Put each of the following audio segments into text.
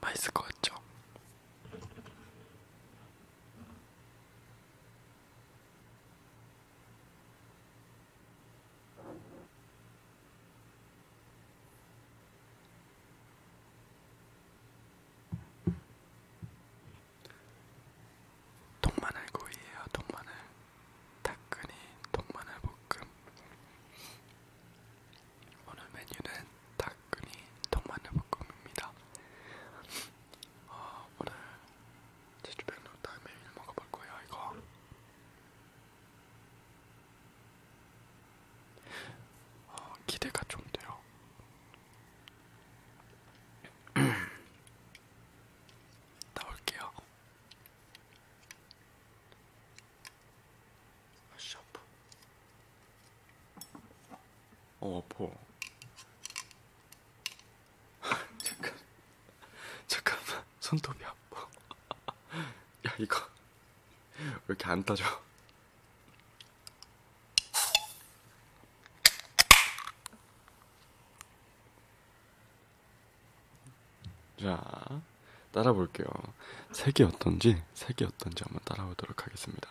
バイスコアチョ 통마늘 구이에요. 통마늘 닭근이 통마늘 볶음. 오늘 메뉴는 닭근이 통마늘 볶음입니다. 어, 오늘 제주백로 닭 메뉴를 먹어볼 거예요. 이거. 어, 기대가 좀 돼요. 나올게요. 아씨 아파. 어 아파. 잠깐 잠깐만 손톱이 아파. 야 이거 왜 이렇게 안 따져? 자, 따라 볼게요. 색이 어떤지, 색이 어떤지 한번 따라오도록 하겠습니다.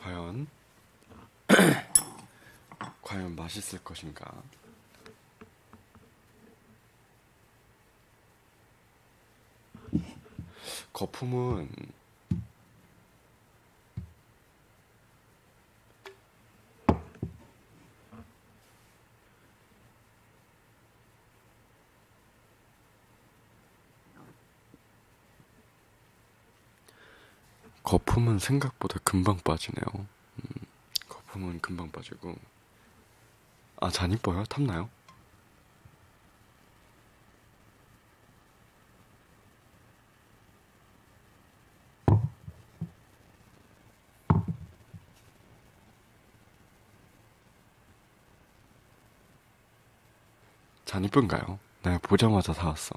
과연 과연 맛있을 것인가? 거품은 거품은 생각보다 금방 빠지네요. 음, 거품은 금방 빠지고. 아, 잔 이뻐요? 탐나요? 잔 이쁜가요? 내가 보자마자 사왔어.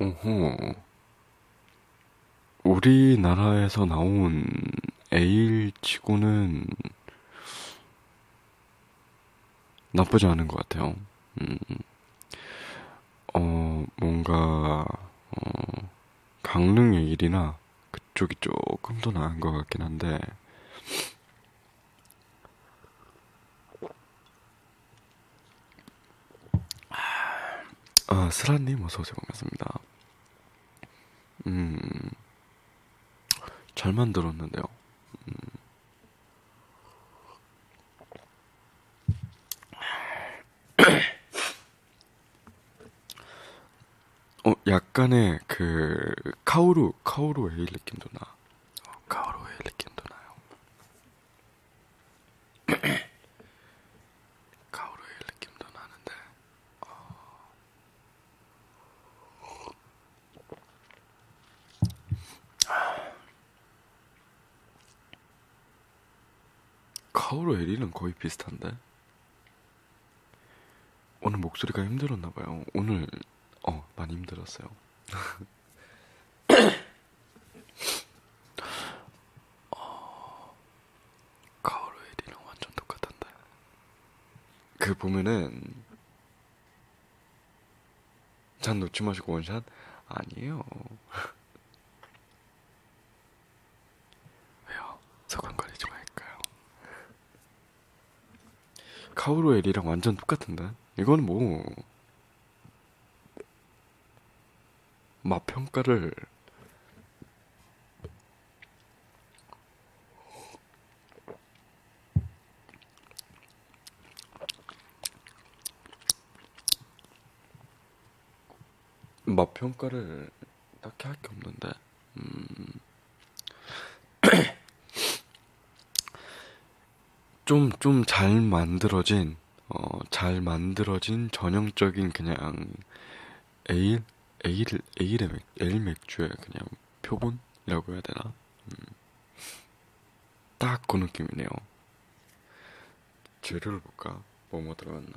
오호. 우리나라에서 나온 에일 치고는 나쁘지 않은 것 같아요. 음. 어, 뭔가, 어, 강릉의 일이나 그쪽이 조금 더 나은 것 같긴 한데, 아, 슬라님 어서오세요. 반갑습니다. 음, 잘 만들었는데요. 음. 어, 약간의 그, 카오루, 카오루 에일 느낌도 나. 어, 가오로의 느낌도 나요. 가오로의 느낌도 나는데 어... 가오로엘이는 거의 비슷한데 오늘 목소리가 힘들었나봐요. 오늘 어 많이 힘들었어요. 어, 가오루 에리랑 완전 똑같던데. 그 보면은 잔 놓지 마시고 원샷 아니에요. 왜요? 서건거리지 말까요? 카오로엘이랑 완전 똑같은데? 이건 뭐, 맛 평가를, 맛 평가를 딱히 할 게 없는데, 음. 좀, 좀 잘 만들어진, 어, 잘 만들어진 전형적인 그냥 에일, 에일, 에일의 맥, 에일 맥주의 그냥 표본이라고 해야 되나? 음. 딱그 느낌이네요. 재료를 볼까? 뭐뭐 들어갔나?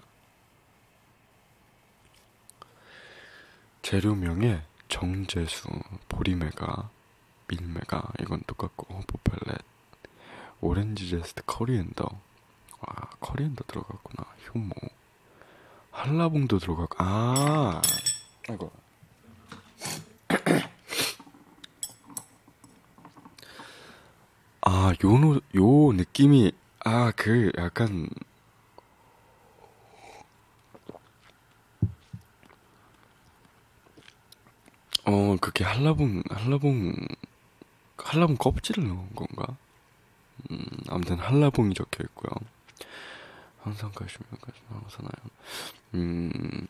재료명에 정제수, 보리매가, 밀메가 이건 똑같고 포펠렛 오렌지 제스트 커리엔더 와 커리엔더 들어갔구나 효모 한라봉도 들어갔고 아 아이고 아 요노 요 느낌이 아 그 약간 어, 그게 한라봉, 한라봉, 한라봉 껍질을 넣은 건가? 음, 아무튼 한라봉이 적혀 있고요. 항상 가시면 가시면 항상 나요. 음,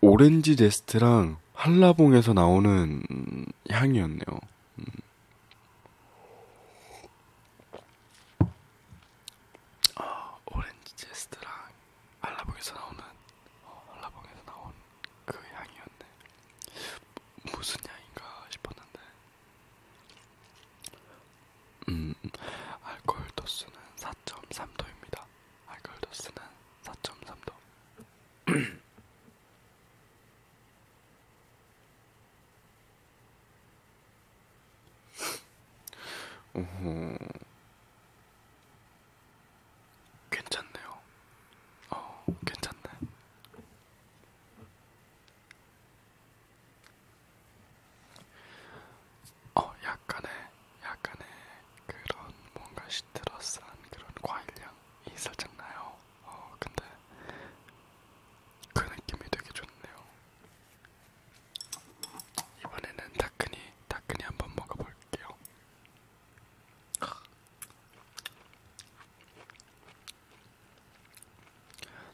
오렌지 제스트랑 한라봉에서 나오는 향이었네요. 음. 아, 오렌지 제스트랑 알라봉에서 나오는 어, 알라봉에서 나온 그 향이었네. 무슨 향인가 싶었는데, 음, 알코올 도수는 4.3도입니다. 알코올 도수는 4.3도. 오, 음. 괜찮네요. 어, 괜찮네. 어, 약간의, 약간의 그런 뭔가 시트러스한 그런 과일향이 살짝 나요. 어, 근데 그 느낌이 되게 좋네요. 이번에는 다크니, 다크니 한번 먹어볼게요.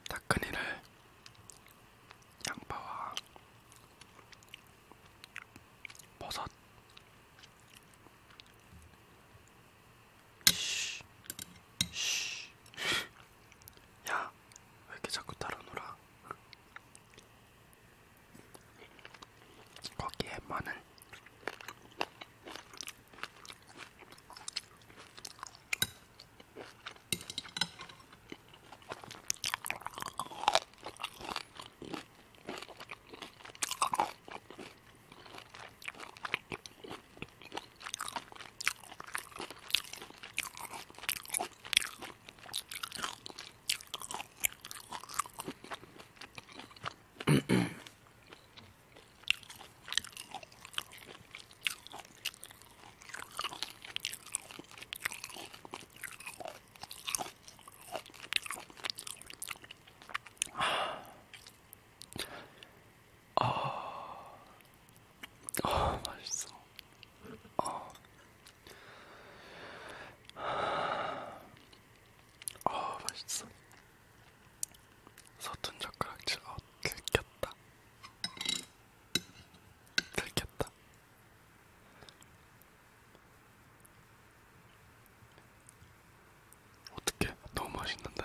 다크니를 양파와 버섯 야, 왜 이렇게 자꾸 따라 놀아? 거기에 많은 아, 아, 맛있어. 아, 아 맛있어. 서툰 젓가락질 어 들켰다. 들켰다. 어떻게 너무 맛있는데?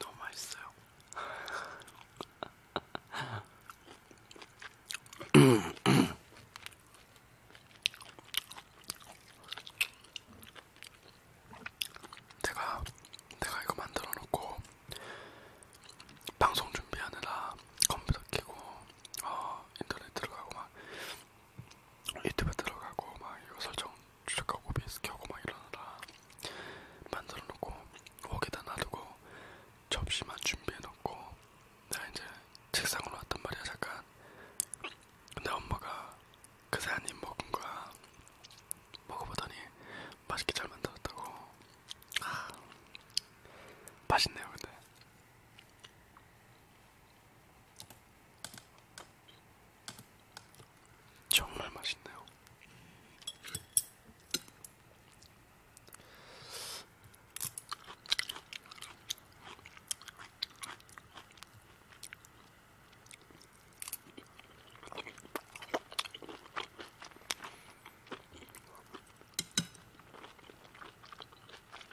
너무 맛있어요. 내가 내가 이거 만들어 놓고 방송 준비하느라 컴퓨터 켜고 어, 인터넷 들어가고 막 유튜브 들어가고 막 이거 설정 추적하고 비스키하고 막 이러느라 만들어놓고 거기다 놔두고 접시만 준비해놓고 나 이제 책상으로 왔단 말이야 잠깐 근데 엄마가 그새 한입 먹은 거야 먹어보더니 맛있게 잘 만들었다고 아, 맛있네요 근데 정말 맛있네요.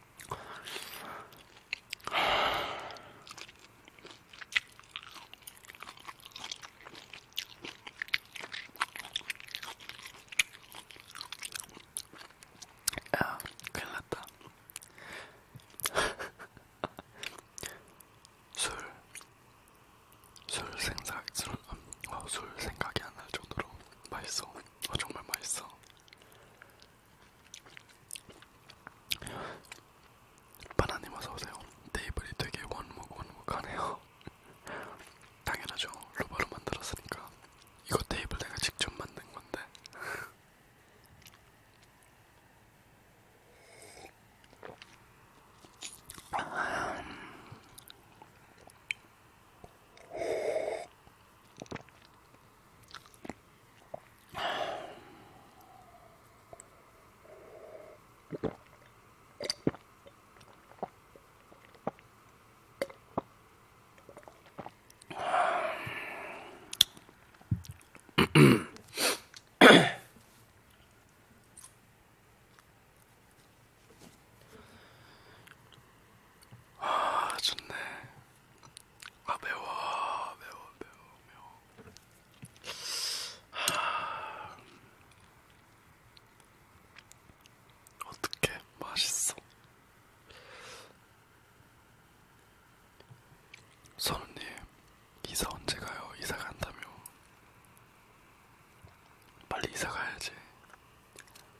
야, 아, 큰일 났다. 술, 술 생각, 술, 음, 어, 술 생각이 안 날 정도로 맛있어. 어, 정말 맛있어. 바나님 어서오세요. 테이블이 되게 원목 원목하네요. 당연하죠. 로바로 만들었으니까. 이거 테이블 내가 직접 만든 건데. 아, 좋네. 아 매워 매워 매워 매워 하... 어떻게 맛있어 선우님 이사 언제 가요 이사 간다며 빨리 이사 가야지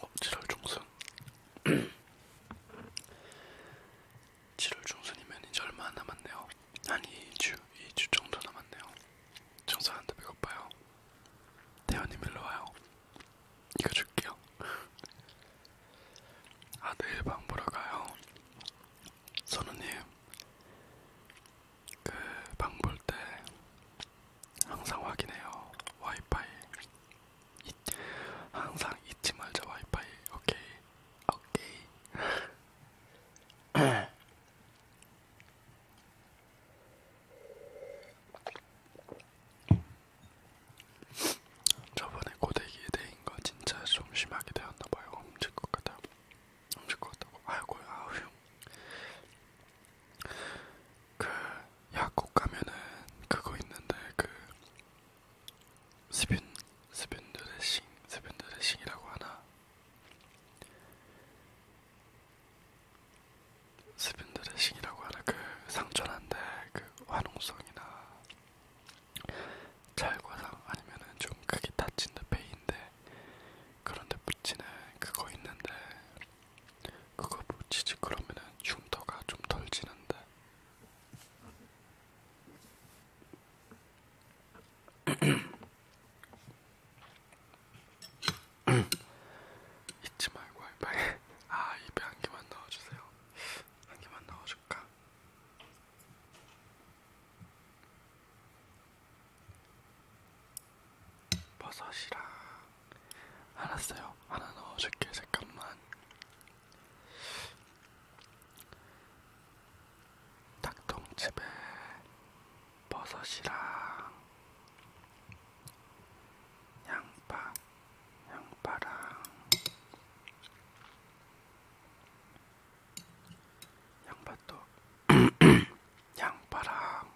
어, 지랄 종승 7월 중순이면 이제 얼마 안 남았네요. 한 2주, 2주 정도 남았네요. 청소하는데 배고파요. 태연님 일로 와요. 이거 줄게요. 아 내일 방 보러 가요. 선우님, 그방 볼 때 항상 확인해요. 와이파이 항상 잊지 말자 와이파이 오케이 오케이 저번에 고데기에 대인 거 진짜 좀 심하게 되었나 봐요. 훔칠 것 같아요. 훔칠 것 같다고. 아이고 아휴. 그 약국 가면은 그거 있는데 그 스푼 스푼 드레싱 스푼 드레싱이라고 하나 스푼 드레싱이라고 하나 그 상처난데 그 화농성이나 잘과상 아니면은 좀 크게 다친 데 페인데 그런데 붙이는 그거 있는데 그거 붙이지 그러면은 흉터가 좀 덜 지는데 잊지 말고 알바에 아 입에 한 개만 넣어주세요 한 개만 넣어줄까 버섯이랑 알았어요 하나 넣어줄게 잠깐만 닭똥집에 버섯이랑 양파, 양파랑 양파도 양파랑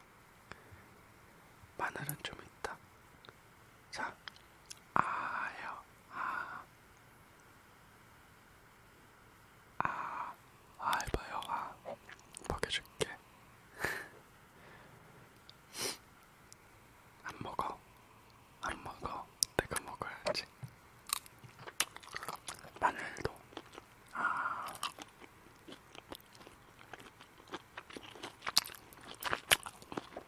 마늘은 좀 있다. 자, 아요, 아, 아, 아 해봐요, 아, 먹여줄게. 안 먹어, 안 먹어, 내가 먹어야지. 마늘도, 아.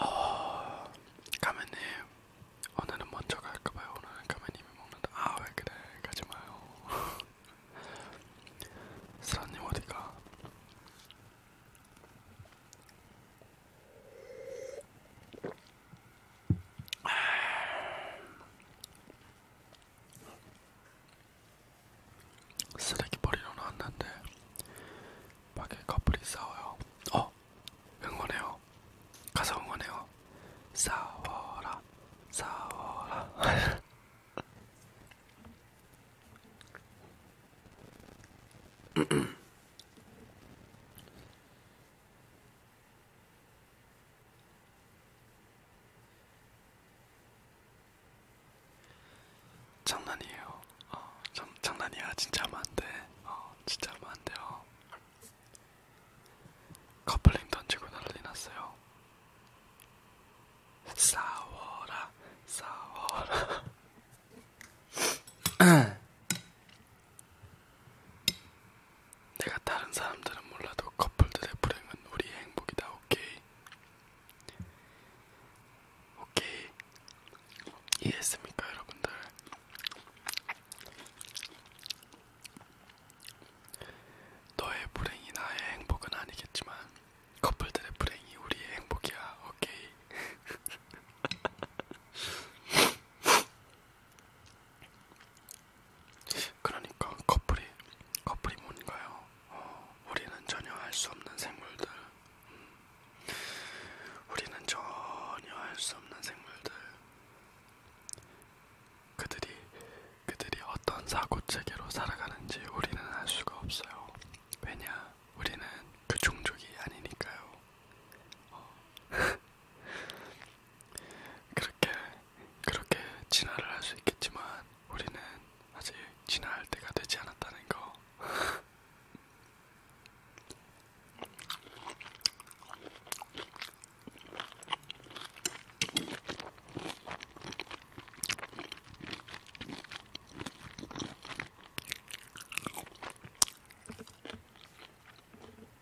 어, 가면님 오늘은 먼저 갈까봐요. 오늘은 가면님이 먹는다. 아 왜 그래? 가지 마요. 슬아님 어디가? 쓰레기 버리러 나왔는데 밖에 커플이 싸워요. 어, 응원해요. 가서 응원해요. 싸워라, 싸워라. 장난이에요. 어, 장, 장난이야. 진짜 하면 안 돼. 어, 진짜 하면 안 돼요. 커플링 던지고 난리 났어요. 싸워라, 싸워라. 내가 다른 사람들은 몰라도 커플들의 불행은 우리의 행복이다. 오케이. 오케이. 이해했습니까, 여러분들? 너의 불행이 나의 행복은 아니겠지만 커플들의 불행이 우리의 행복이야. 오케이. 그러니까 커플이 커플이 뭔가요? 어, 우리는 전혀 알 수 없는 생물들. 음. 우리는 전혀 알 수 없는 생물들. 그들이 그들이 어떤 사고 체계로 살아가는지 우리는 알 수가 없어요. 왜냐? 우리는 그 종족이 아니니까요. 어. 그렇게 그렇게 진화를 할 수 있겠지만 우리는 아직 진화할 때가 되지 않았다는 거.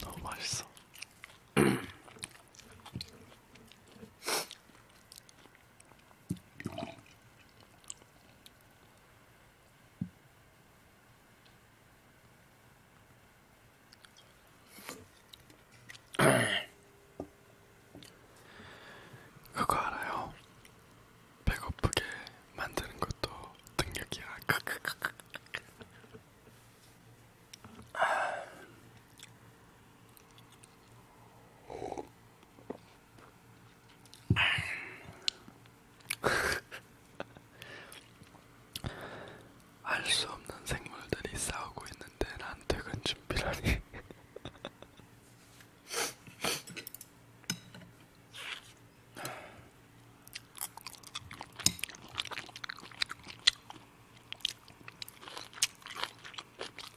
너무 맛있어. 그거 알아요? 배고프게 만드는 것도 능력이야. 알수 없는 생물들이 싸우고 있는데 난 퇴근 준비라니.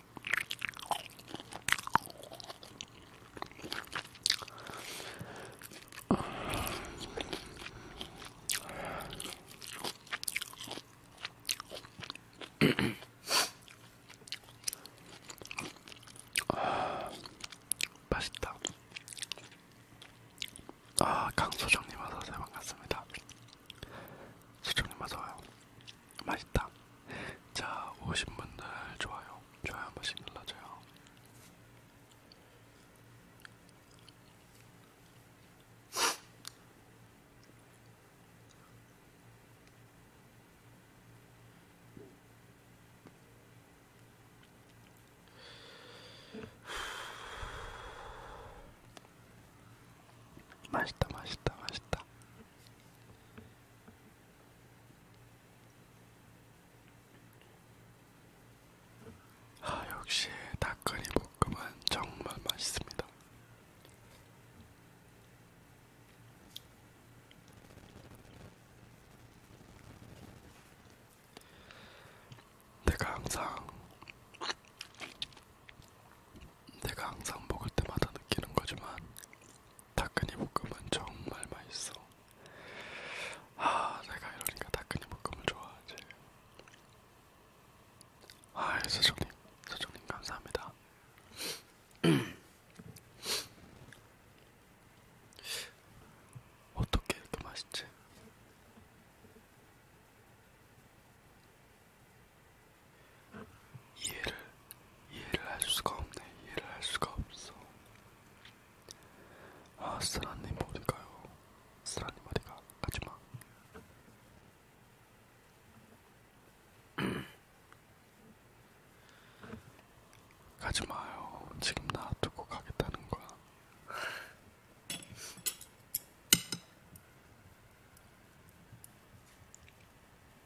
맛있다. 아, 강소정님 와서 잘 반갑습니다. 소정님 와서요. 맛있다. 자, 오신 분들 좋아요. 좋아요 한 번씩 눌러줘요. 맛있다, 맛있다, 맛있다. 아 역시 닭거리 볶음은 정말 맛있습니다. 내가 항상 내가 항상 먹을 때마다 느끼는 거지만 닭근이 볶음은 정말 맛있어. 아, 내가 이러니까 닭근이 볶음을 좋아하지. 아, 예, 사장님, 사장님 감사합니다. 어떻게 이렇게 맛있지? 이해를 이해를 할 수가 없네. 이해를 할 수가 없어. 아 쓰라님 보니까요. 쓰라님 머리가 하지마. 가지 마요. 지금 놔두고 가겠다는 거야.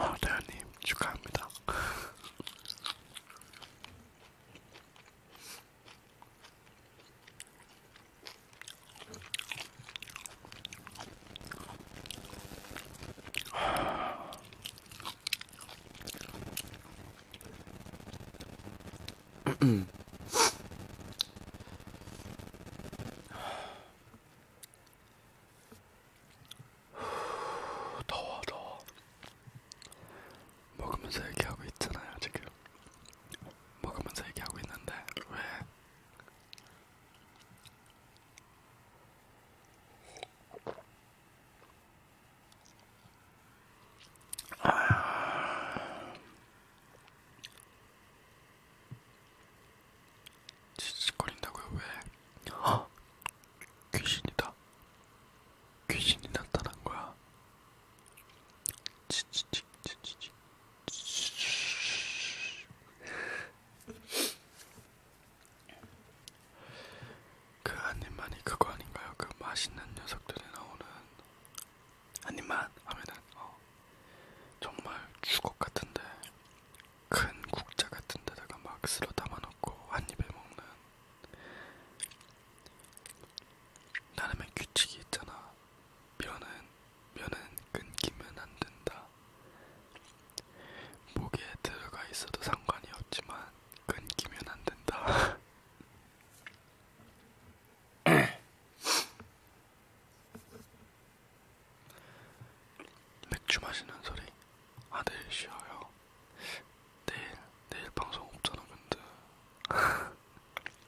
아, 어, 대현님 축하합니다. 더워 더워 먹으면서 얘기하고 있잖아요 지금 먹으면서 얘기하고 있는데 왜 아... 지직거린다고요? 왜? 어? 귀신이다. 귀신이 나타난 거야. 지지직 지지직. 그 한입만이 그거 아닌가요? 그 맛있는 녀석들이 나오는 한입만 하면은 어, 정말 주걱 같은데 큰 국자 같은 데다가 막 쓸어 담아놓고 한 입에 먹는 나름의 규칙이 있잖아. 면은 면은 끊기면 안 된다. 목에 들어가 있어도 상관이 없지만 끊기면 안 된다. 맥주 마시는 소리 아 내일 쉬어요 내일 내일 방송 없잖아 근데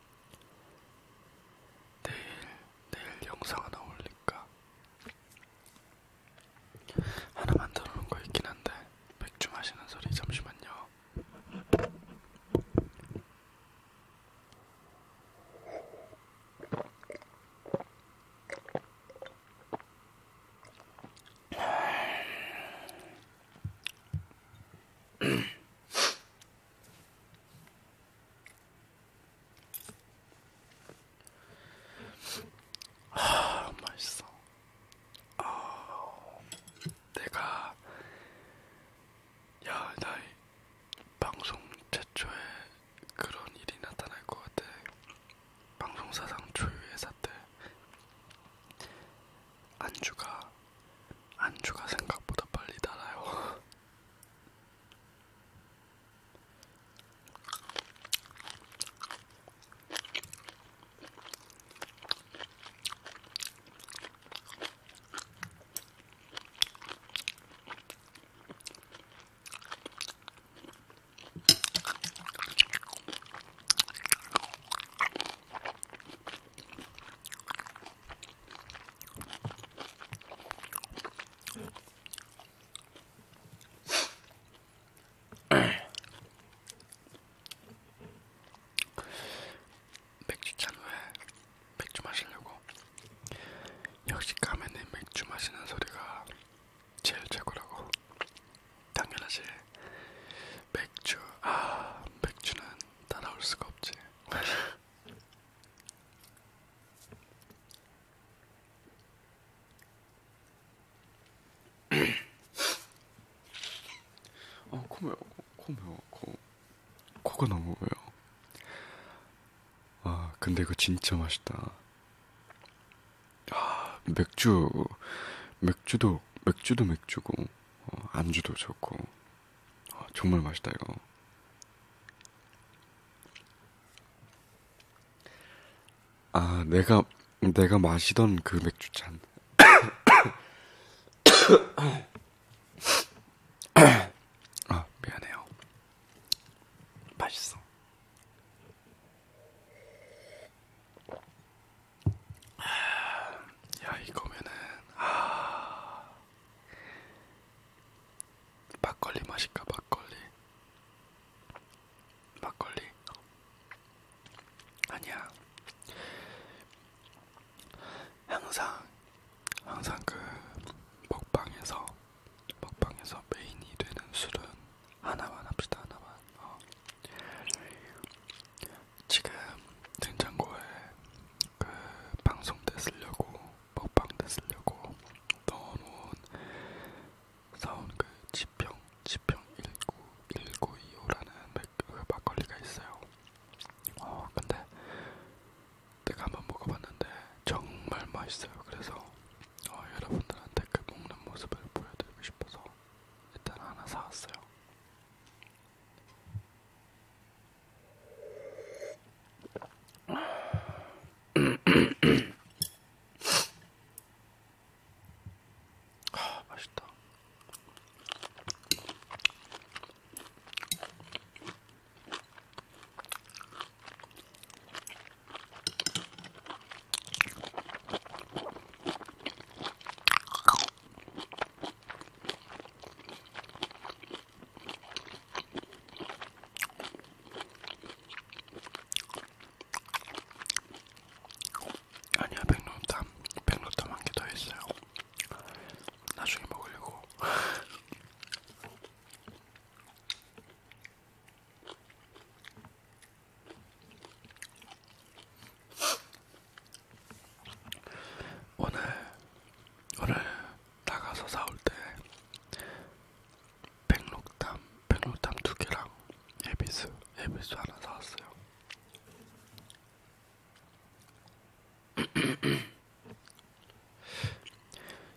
내일 내일 영상 하나 올릴까 하나 만들어 놓은 거 있긴 한데 맥주 마시는 소리 잠시만요. 아, 맛있어. 아, 내가 야, 나 방송 최초에 그런 일이 나타날 것 같아. 방송사상 초유의 사태. 안주가 안주가 생각보다 빨리 달아요. 맥주 캔왜 맥주 마시려고 역시 까매는 맥주 마시는 소리가 제일 최고라고. 당연하지. 맥주, 아, 맥주는 따라올 수가 없지. 어, 아, 코메요, 코메요, 코, 코가 너무 왜요? 아, 근데 이거 진짜 맛있다. 아, 맥주, 맥주도, 맥주도 맥주고, 어, 안주도 좋고, 아, 정말 맛있다, 이거. 아, 내가, 내가 마시던 그 맥주잔. 아, 미안해요. 맛있어. 아, 야 이거면은 아 막걸리 맛일까 막걸리 막걸리 아니야 항상 항상 그 먹방에서 먹방에서 메인이 되는 술은 하나만 합시다 하나만 어. 지금 냉장고에 그 방송 때 쓰려고 먹방 때 쓰려고 넣어놓은 사온 그 지평 지평 19 1925라는 그 막걸리가 있어요. 어 근데 내가 한번 먹어봤는데 정말 맛있어요. 그래서 어, 여러분들한테 그 먹는 모습을 보여드리고 싶어서 일단 하나 사왔어요. 아, 맛있다. 아니야 백로땀 백로땀 한개더 있어요. 나중에 먹으려고. 오늘 오늘 나가서 사올 때 백록담 백록담 두 개랑 에비스 에비스 하나 사왔어요.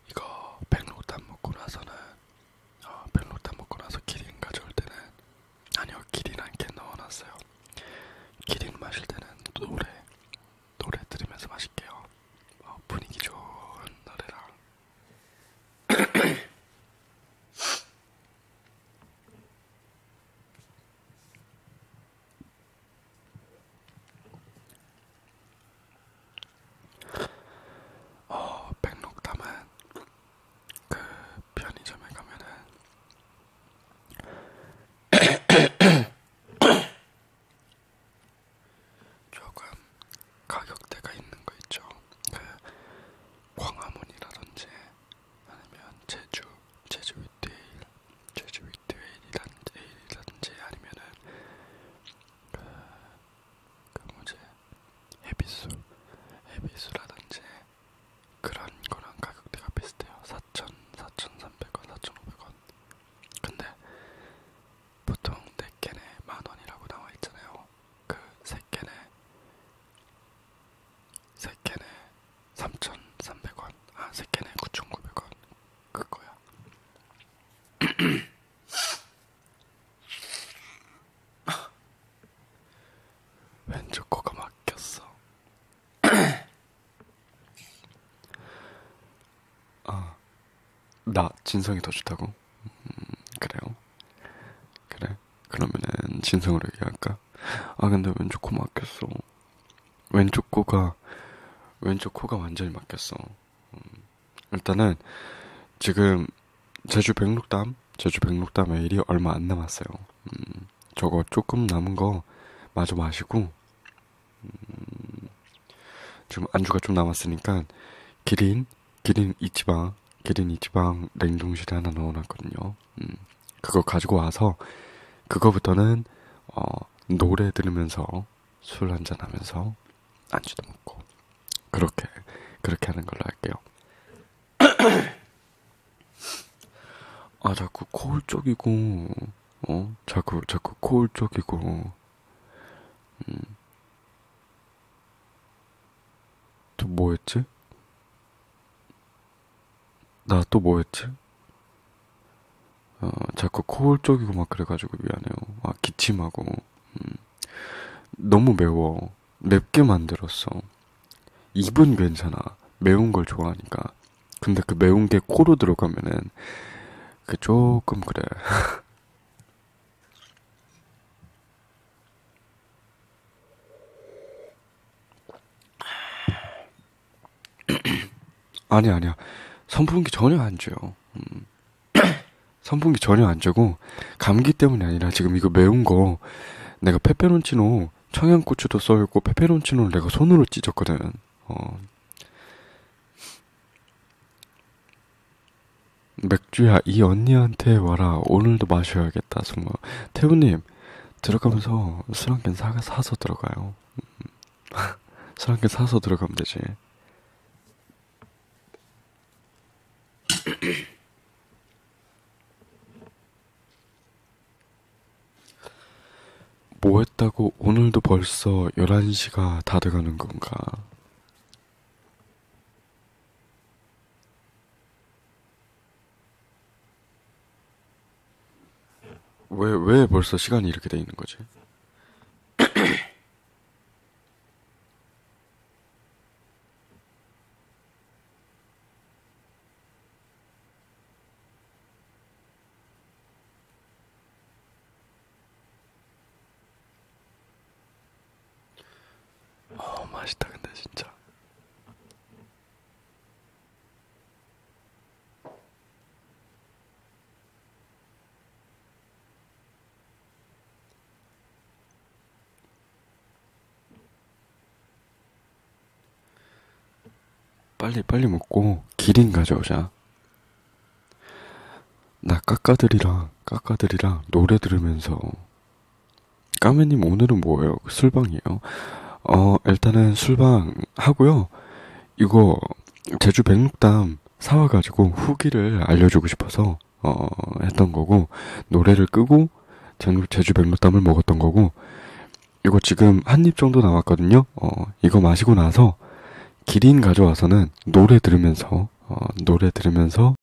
이거 백록담 먹고 나서는 어, 별로 다 먹고 나서 기린 가져올 때는 아니요 기린 한개 넣어놨어요. 기린 마실 때는 노래 노래 들으면서 마실게요. 어, 분위기 좋은 노래랑. 어, 백록담은 그 편의점에 가면은 조금 가격대가 있는 거 있죠. 그 광화문이라든지 아니면 제주, 제주 윗데일, 제주 윗데일이라든지 아니면은 그그 뭐지 헤비술 헤비술라든지 그런 거랑 가격대가 비슷해요 4,000, 4,300원, 4,500원 근데 보통 4개네 만원이라고 나와있잖아요 그 3개네 3개네 3,300원 아 3개네 9,900원 그거야 왼쪽 코가 막혔어. 아, 나 진성이 더 좋다고? 음, 그래요? 그래? 그러면은 진성으로 얘기할까? 아 근데 왼쪽 코 막혔어. 왼쪽 코가 왼쪽 코가 완전히 막혔어. 음. 일단은 지금 제주 백록담, 제주 백록담 에일이 얼마 안 남았어요. 음, 저거 조금 남은 거 마저 마시고 음, 지금 안주가 좀 남았으니까 기린, 기린 이지방, 기린 이지방 냉동실에 하나 넣어놨거든요. 음, 그거 가지고 와서 그거부터는 어, 노래 들으면서 술 한잔 하면서 안주도 먹고 그렇게 그렇게 하는 걸로 할게요. 아 자꾸 코울 쪽이고 어 자꾸 자꾸 코울 쪽이고 음. 또 뭐였지? 나 또 뭐였지? 어, 자꾸 코올 쪽이고 막 그래가지고 미안해요. 아, 기침하고. 음. 너무 매워. 맵게 만들었어. 입은 괜찮아. 매운 걸 좋아하니까. 근데 그 매운 게 코로 들어가면은 그 조금 그래. 아니 아니야. 선풍기 전혀 안 줘요. 음. 선풍기 전혀 안 쬐고 감기 때문이 아니라 지금 이거 매운 거 내가 페페론치노 청양고추도 써있고 페페론치노를 내가 손으로 찢었거든. 어. 맥주야 이 언니한테 와라 오늘도 마셔야겠다 정말 태우님 들어가면서 술한캔 사서 들어가요 음. 술한캔 사서 들어가면 되지 뭐 했다고 오늘도 벌써 11시가 다 돼가는 건가? 왜, 왜 벌써 시간이 이렇게 돼 있는 거지? 어 맛있다 근데 진짜 빨리 빨리 먹고 기린 가져오자. 나 까까들이랑 까까들이랑 노래 들으면서 까매님 오늘은 뭐예요? 그 술방이에요? 어 일단은 술방 하고요. 이거 제주 백록담 사와가지고 후기를 알려주고 싶어서 어, 했던 거고, 노래를 끄고, 제주 백로땀을 먹었던 거고, 이거 지금 한 입 정도 남았거든요. 어, 이거 마시고 나서, 기린 가져와서는 노래 들으면서, 어, 노래 들으면서,